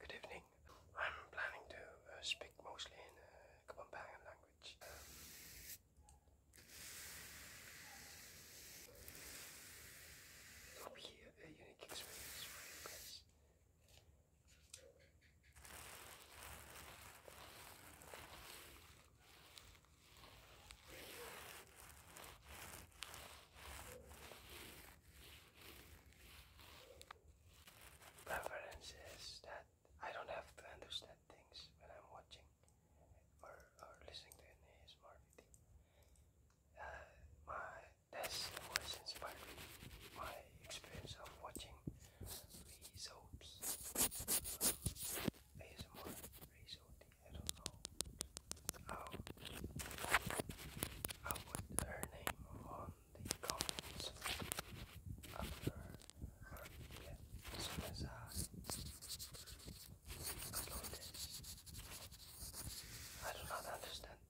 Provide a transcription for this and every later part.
good, evening. I'm planning to uh, speak mostly in uh, language. Um, a, unique experience Preference is that I don't have to understand things when I'm watching or, or listening to an ASMR video. Uh, my, that's what inspired me. My experience of watching Rezo T. Uh, I don't know I would her name on the comments after yeah, as soon as I upload I do not understand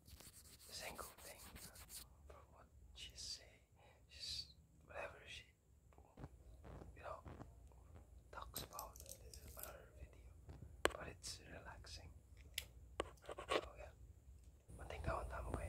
a single thing for what she say. She's whatever she you know talks about in another video, but it's relaxing. So oh, yeah, one thing uh, I want to win.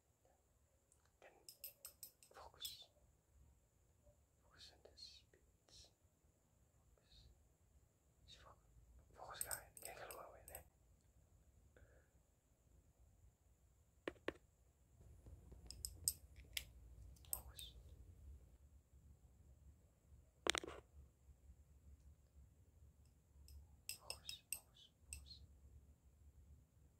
and focus. Focus on the speeds. focus. Focus guy. Can't get away with focus, focus. Focus.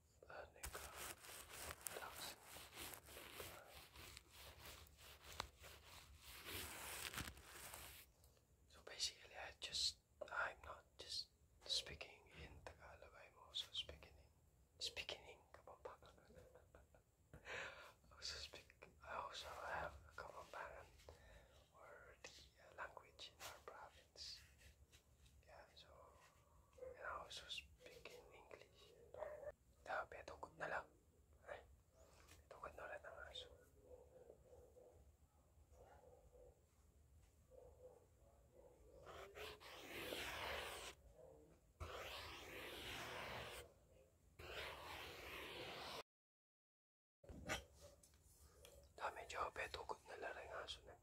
So basically, I just I'm not just speaking in Tagalog. I'm also speaking speaking in also speak. I also have Kapampangan or the language in our province. Yan, so, I also speak in English. Grabe, tungkod na lang. Ay, tungkod na ulit ang aso. Dami, Jobe, tungkod na lang na.